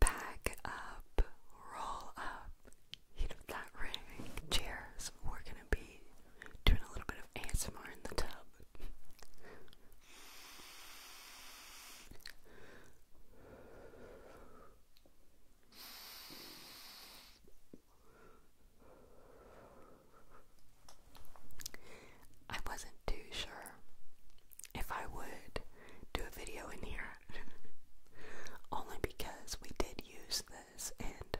Back up, roll up. You know that ring. Cheers. We're gonna be doing a little bit of ASMR in the tub. I wasn't too sure if I would do a video in here. Only because we did use this and,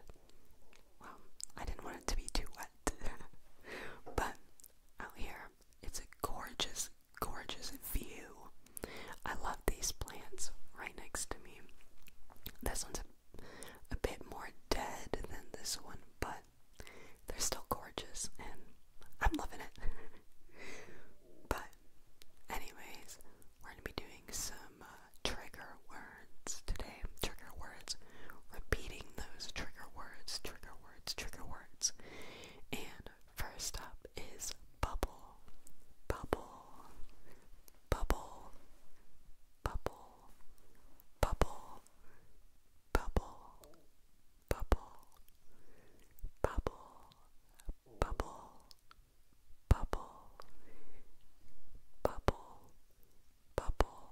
well, I didn't want it to be too wet. but out here, it's a gorgeous, gorgeous view. I love these plants right next to me. This one's a, a bit more dead than this one, but they're still gorgeous and I'm loving it. But, anyways, we're going to be doing some uh, trigger words today. Trigger words. Repeating those trigger words, trigger words, trigger words. And first up is bubble, bubble, bubble, bubble, bubble, bubble, bubble, bubble, bubble, bubble, bubble.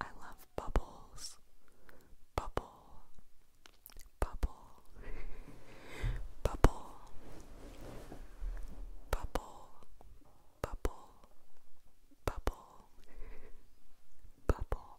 I love bubbles. Bubble, bubble, bubble, bubble, bubble, bubble, bubble,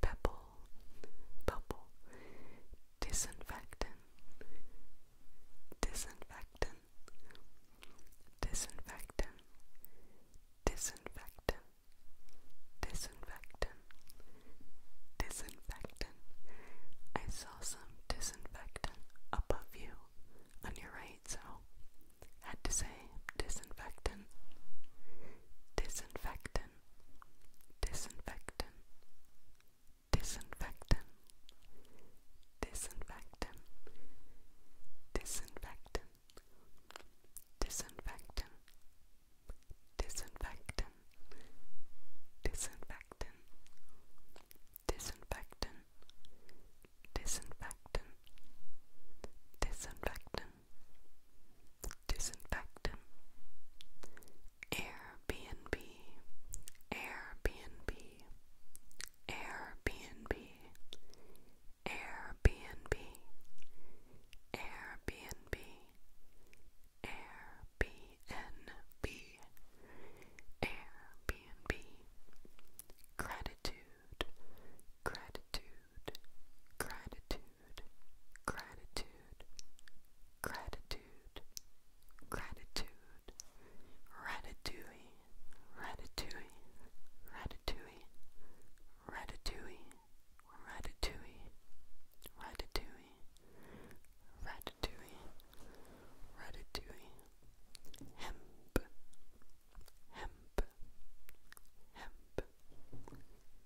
pebble, bubble, disinfectant, disinfectant, disinfectant, disinfectant, disinfectant, disinfectant. I saw some disinfectant above you on your right, so had to say disinfectant, disinfectant, disinfectant, disinfectant, disinfectant, disinfectant, disinfectant, disinfectant, disinfectant, disinfectant, disinfectant, disinfectant disinfectant, Airbnb, Airbnb, Airbnb, Airbnb, Airbnb, Airbnb, gratitude, gratitude, gratitude gratitude, gratitude, gratitude, ratatouille, ratatouille, ratatouille, ratatouille, ratatouille, ratatouille, ratatouille, ratatouille, hemp, hemp, hemp,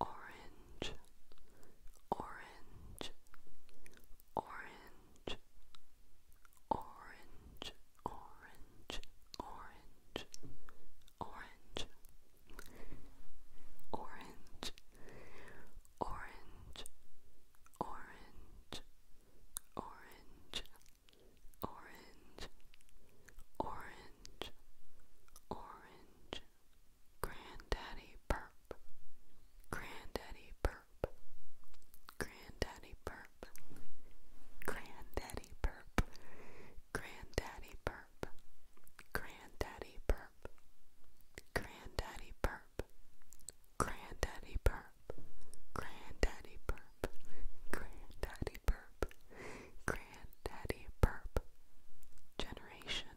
orange, orange, orange, orange, orange, orange, orange, orange, orange, orange, orange. Orange, orange, orange, Granddaddy Burp, Granddaddy Burp, Granddaddy Burp, Granddaddy Burp, Granddaddy Burp, Granddaddy Burp, Granddaddy Burp, Granddaddy Burp, Granddaddy Burp, Granddaddy Burp, Granddaddy Burp, Generation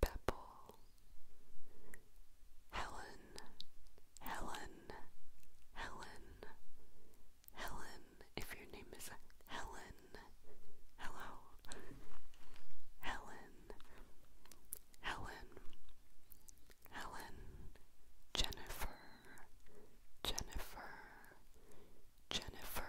Pebble, Helen, Helen, Helen, Helen. If your name is Helen, hello, Helen, Helen, Helen, Jennifer, Jennifer, Jennifer,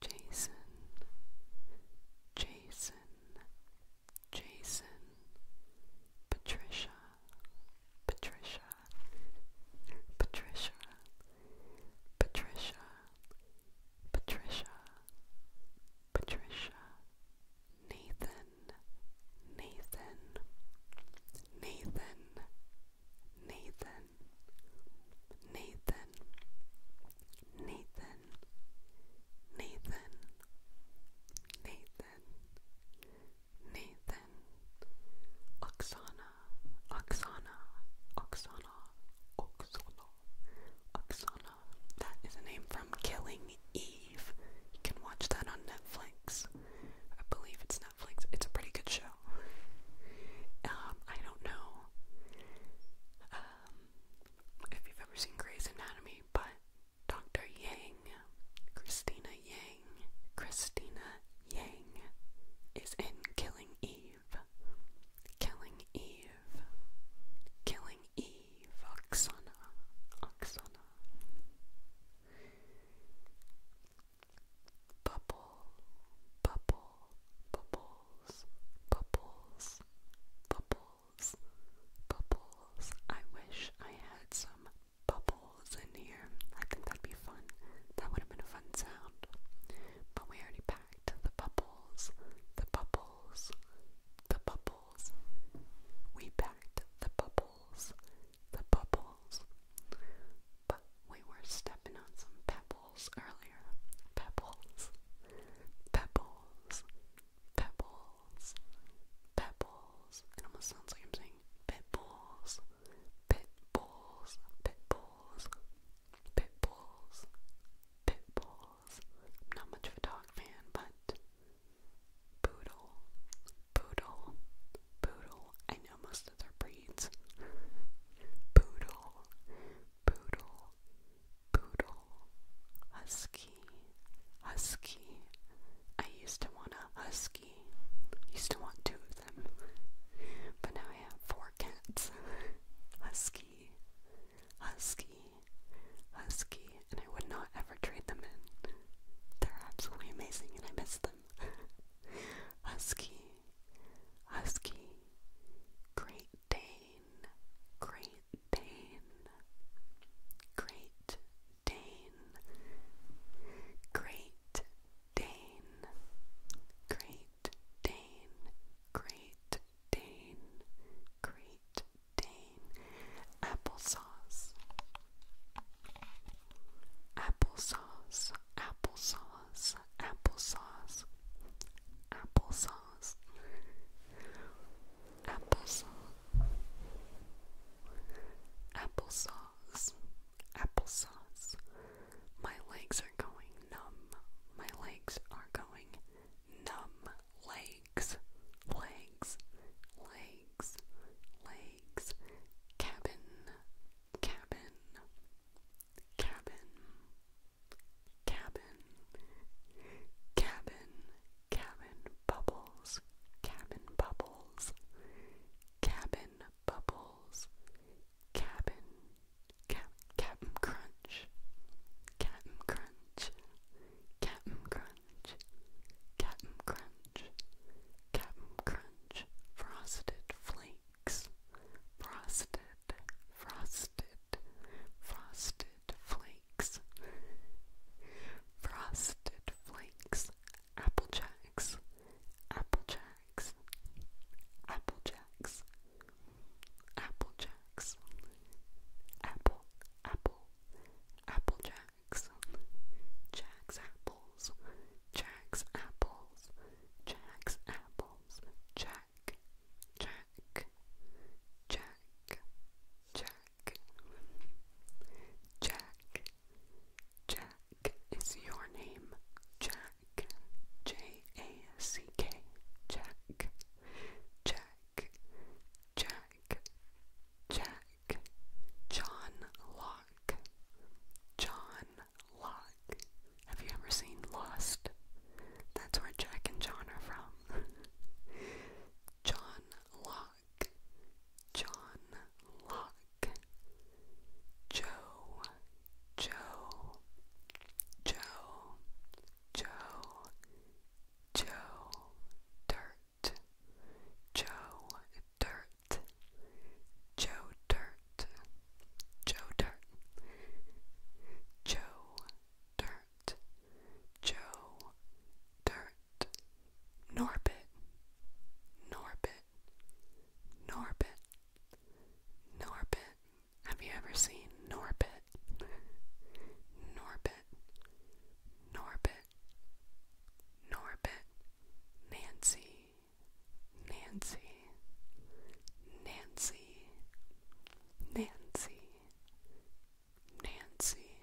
Jason, Jason, Jason, Patricia, Patricia, Patricia, Patricia, Patricia, Nathan, Nathan, Nathan, Nathan, Nathan, Nathan, Nathan, Nathan, Nathan, Oksana, Oksana, Oksana, Oksana, Oksana. That is a name from Killing Eve. You can watch that on Netflix. I believe it's Netflix. It's a pretty good show. Um, I don't know. Um, if you've ever seen Grey's Anatomy, but Dr. Yang, Christina Yang, Christina Yang is in Killing Eve. Killing Eve. Killing Eve. Oksana. Oksana. Bubble. Bubble. Bubble bubbles, bubbles, bubbles, bubbles. I wish I had some bubbles in here. I think that'd be fun. That would have been a fun sound. But we already packed the bubbles, the bubbles, the bubbles. We packed the bubbles, the bubbles. But we were stepping on some pebbles pebbles Pebbles. Pebbles. Pebbles. almost sounds like I'm saying pit bulls. Pit bulls. Pit not much of a dog fan, but poodle. Poodle. Poodle. I know most of their breeds. Poodle. Poodle. Poodle husky, husky. I used to want a husky. I Used to want two of them, but now I have four cats. Husky, husky, husky, and I would not ever trade them in. They're absolutely amazing, and I miss them. husky, husky, great Dane, Great Dane, Great Dane, Great Dane, Great Dane, Great Dane, Great Dane, applesauce, applesauce, applesauce, applesauce, applesauce nose. Applesauce. Applesauce. Applesauce. My legs are going numb. My legs are going numb. Legs. Legs. Legs. Legs. Cabin. Cabin. Cabin cabin, cabin, cabin bubbles, cabin bubbles, cabin bubbles, cabin, cap, cap'n crunch, cap'n crunch, cap'n crunch, cap'n crunch, cap'n crunch, frosted flakes, frosted frosted, frosted flakes, frosted flakes, apple jacks, apple jacks, apple jacks, apple jacks, apple, apple, apple jacks, jacks apples, jacks apples, jacks apples, jacks. Jack, Jack, Jack, Jack. Jack, Jack is your name. Jack, J A C K, Jack, Jack, Jack, Jack. John Locke, John Locke. Have you ever seen Lost? That's where Jack and John are from. John Locke. John Locke. Joe. Joe. Joe. Joe. Joe. Dirt. Joe. Dirt. Joe Dirt. Joe Dirt. Joe Dirt. Joe, Dirt, Norbit, Norbit, Norbit, Norbit. Have you ever seen Norbit? Norbit, Norbit, Norbit, Nancy, Nancy, Nancy, Nancy. Nancy,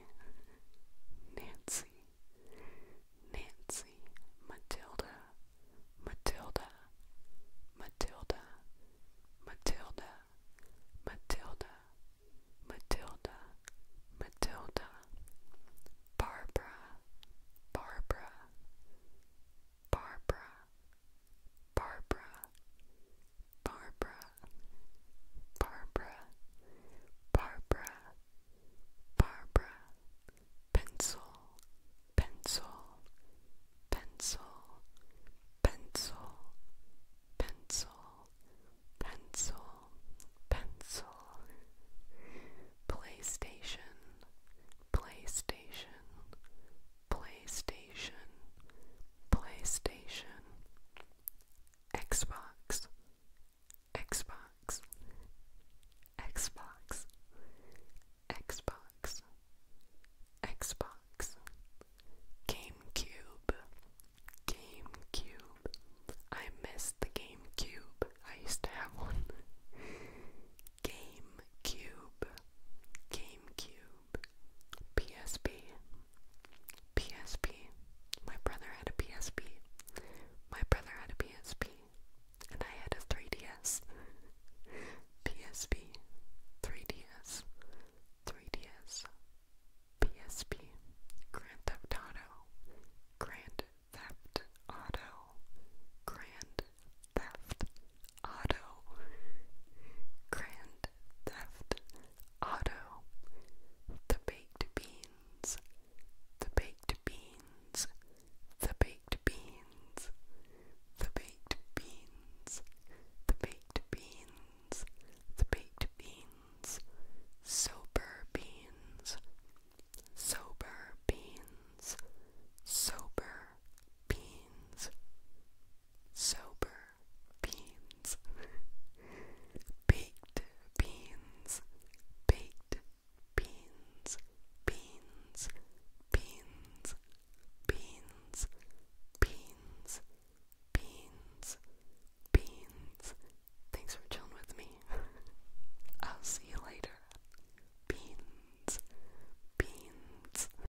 Nancy, Nancy, Matilda, Matilda, Matilda, Matilda, Matilda, Matilda, Barbara, Barbara, Barbara, Barbara, Barbara, Barbara, Barbara, Barbara, pencil, pencil, pencil, pencil, pencil, pencil, pencil, PlayStation, PlayStation, PlayStation, PlayStation, Xbox, Xbox, Xbox, Xbox, Xbox, GameCube, GameCube. I miss the GameCube. I used to have one. GameCube, GameCube. PSP. PSP. My brother had a PSP. My brother had a PSP. And I had a 3DS. PSP. 3DS. 3DS. PSP. Grand Theft Auto. Grand Theft Auto. Grand Theft auto, grand theft auto, the baked beans, the baked beans, the baked beans, the baked beans, the baked beans, the baked beans, sober beans, sober beans, sober beans, sober beans, baked beans, baked beans, beans, beans, beans, beans, beans, beans. Thanks for chilling with me. I'll see you later. Beans, beans.